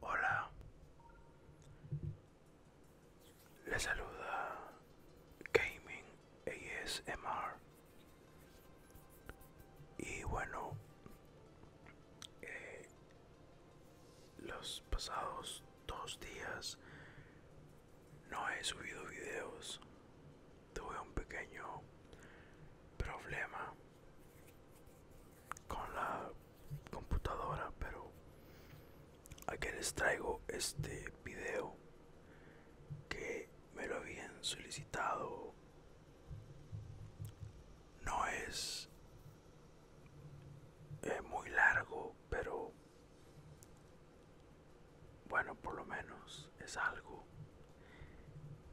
Hola, le saluda Gaming ASMR y bueno, eh, los pasados dos días no he subido videos tuve un pequeño problema con la computadora pero aquí les traigo este video que me lo habían solicitado no es eh, muy largo pero bueno, por lo menos es algo.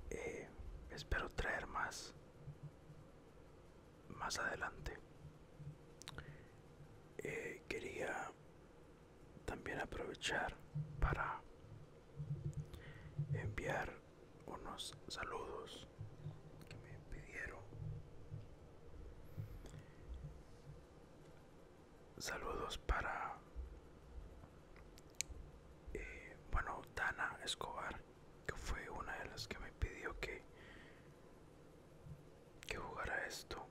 Eh, espero traer más más adelante. Eh, quería también aprovechar para enviar unos saludos que me pidieron Saludos para... Eh, bueno, Dana Escobar, que fue una de las que me pidió que, que jugara esto.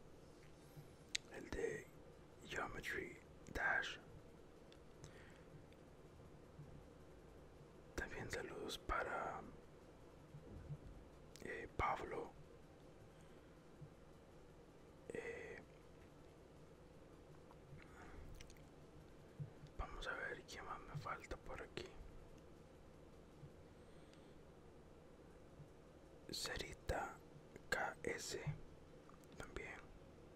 El de Geometry Dash. También saludos para eh, Pablo eh, vamos a ver qué más me falta por aquí. Cerita KS también.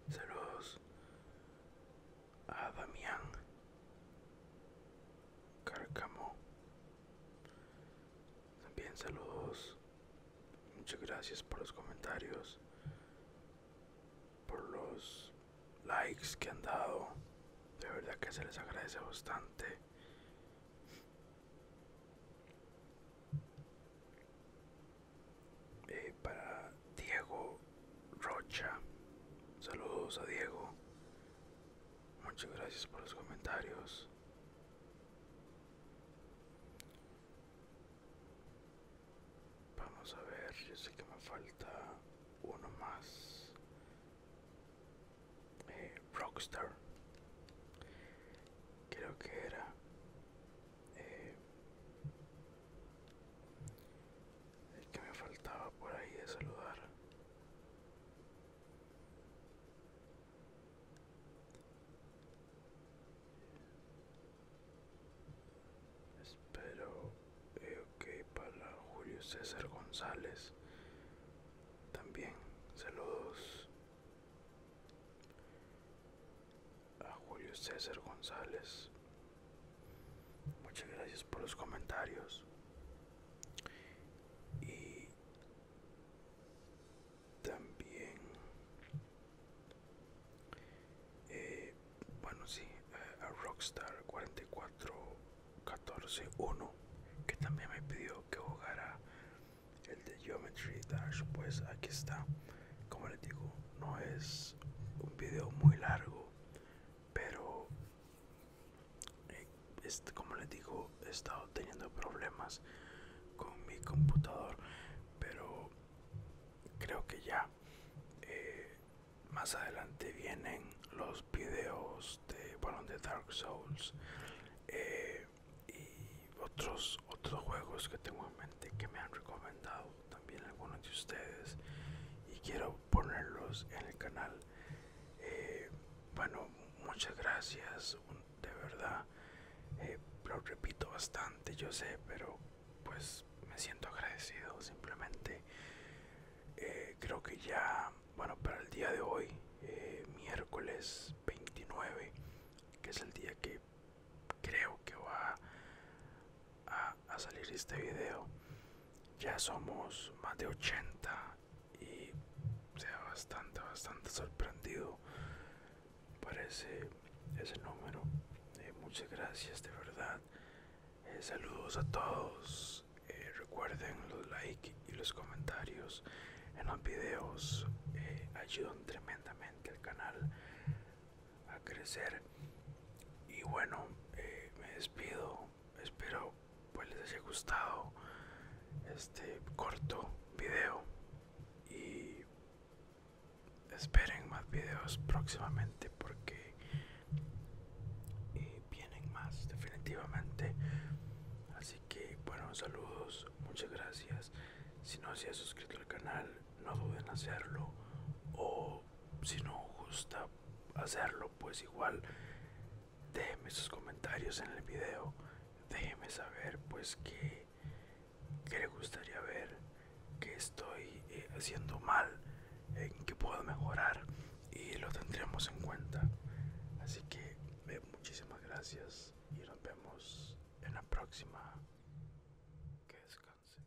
Saludos a Damián Carcamo. También saludos. Muchas gracias por los comentarios. Por los likes que han dado. De verdad que se les agradece bastante. Eh, para Diego Rocha. Saludos a Diego. Muchas gracias por los comentarios. Vamos a ver, yo sé que me falta uno más. Eh, Rockstar. Creo que era. Eh, el que me faltaba por ahí de saludar. Espero que eh, para Julio César González. También saludos a Julio César González. Muchas gracias por los comentarios. Y también eh, bueno sí a rockstar 44141 que también me pidió que jugara el de geometry dash pues aquí está como les digo no es un video muy largo pero eh, como les digo he estado teniendo problemas con mi computador pero creo que ya eh, más adelante vienen los videos de balón de Dark Souls eh, y otros otros juegos que tengo en mente que me han recomendado también algunos de ustedes y quiero ponerlos en el canal eh, bueno, muchas gracias, de verdad. Eh, lo repito bastante, yo sé, pero pues me siento agradecido simplemente. Eh, creo que ya, bueno, para el día de hoy, miércoles 29, que es el día que creo que va a, a salir este video, ya somos más de 80 y sea bastante bastante sorprendido parece ese, número eh, muchas gracias de verdad eh, saludos a todos eh, recuerden los likes y los comentarios en los videos ayudan tremendamente al canal a crecer y bueno me despido espero pues les haya gustado este corto video y esperen más videos próximamente porque eh, vienen más definitivamente así que bueno saludos muchas gracias si no se ha suscrito al canal no duden en hacerlo o si no gusta hacerlo, pues igual déjeme sus comentarios en el video. Déjeme saber pues qué le gustaría ver, que estoy eh, haciendo mal, en qué que puedo mejorar y lo tendremos en cuenta. Así que eh, muchísimas gracias y nos vemos en la próxima. Que descanse